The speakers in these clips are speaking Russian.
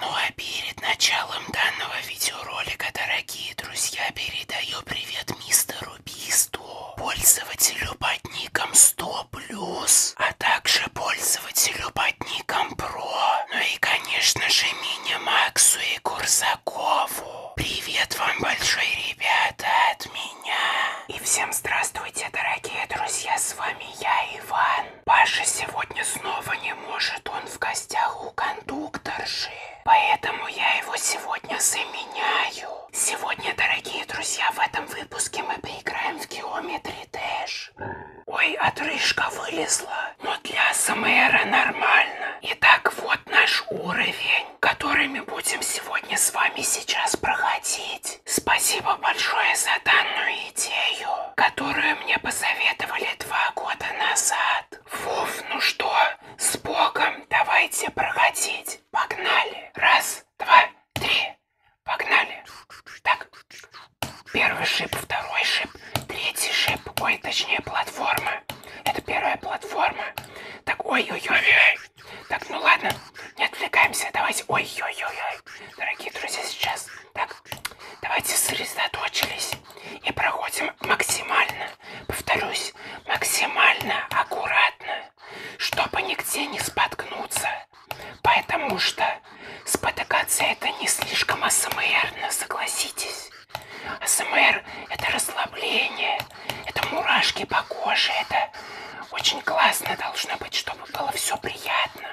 Ну а перед началом данного видеоролика, дорогие друзья, передаю привет мистеру Бисту, пользователю под ником 100+, а также пользователю под ником Pro, ну и конечно же Мини Максу и Курсакову. Привет вам большой, ребята, от меня. И всем здравствуйте, дорогие друзья, с вами я, Иван. Иван. Паша сегодня снова не может, он в гостях у кондукторши. Поэтому я его сегодня заменяю. Сегодня, дорогие друзья, в этом выпуске мы поиграем в Geometry Dash. Ой, отрыжка вылезла, но для СМРа нормально. Итак, вот наш уровень, который мы будем сегодня с вами сейчас проходить есть. Спасибо большое за данную идею, которую мне посоветовали два года назад. Фуф, ну что, с Богом, давайте проходить. Погнали. Раз, два, три. Погнали. Так. Первый шип, второй шип, третий шип. Ой, точнее платформа. Это первая платформа. Так, ой-ой-ой. Так, ну ладно, не отвлекаемся, давайте. Ой-ой-ой, дорогие друзья, сейчас. Так, давайте сосредоточились и проходим максимально, повторюсь, максимально аккуратно, чтобы нигде не споткнуться. Потому что спотыкаться это не слишком асмрно, согласитесь. АСМР – это расслабление, это мурашки по коже, это очень классно должно быть, чтобы было все приятно,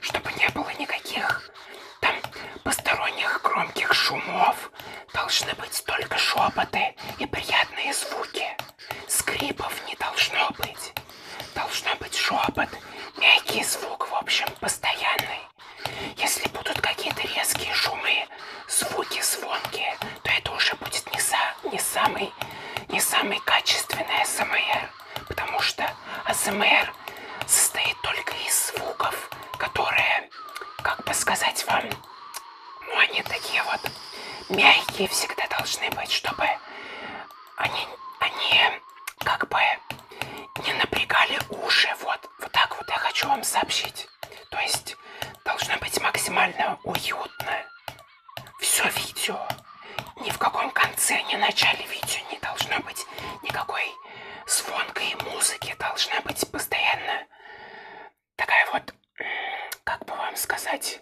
чтобы не было никаких там посторонних громких шумов, должны быть только шепоты и приятные звуки, скрипов не должно быть, должно быть шепот, мягкий звук, в общем, постоянный. Если будут какие-то резкие шумы, звуки звонкие, то это уже будет не, за, не, самый, не самый качественный АСМР, потому что АСМР состоит только из звуков, которые, как бы сказать вам, ну они такие вот мягкие всегда должны быть, чтобы они, они как бы не напрягали уши. Вот, вот так вот я хочу вам сообщить. То есть должно быть максимально уютно. Все видео. Ни в каком конце, ни начале видео не должно быть никакой звонкой музыки. Должна быть постоянно такая вот, как бы вам сказать,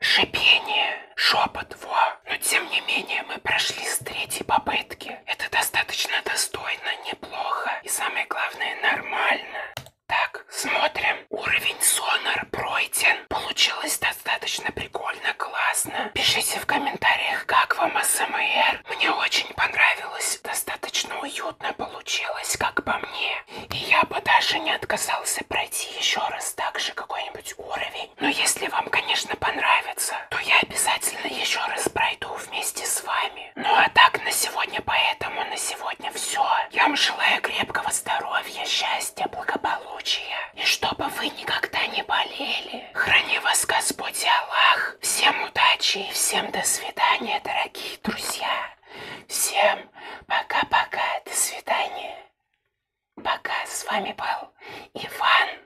шипение, шепот, во. Но тем не менее мы прошли с третьей попытки. Это достаточно достойно, неплохо и самое главное нормально. Так, смотрим. Уровень Сонар пройден. Получилось достаточно прикольно, классно. Пишите в комментариях, как вам АСМР. Мне очень понравилось. Достаточно уютно получилось, как по мне. И я бы даже не отказался пройти еще раз также какой-нибудь уровень. Но если вам, конечно, понравится, то я обязательно еще раз пройду вместе с вами вами. Ну а так на сегодня, поэтому на сегодня все. Я вам желаю крепкого здоровья, счастья, благополучия. И чтобы вы никогда не болели. Храни вас Господь и Аллах. Всем удачи и всем до свидания, дорогие друзья. Всем пока-пока, до свидания. Пока, с вами был Иван.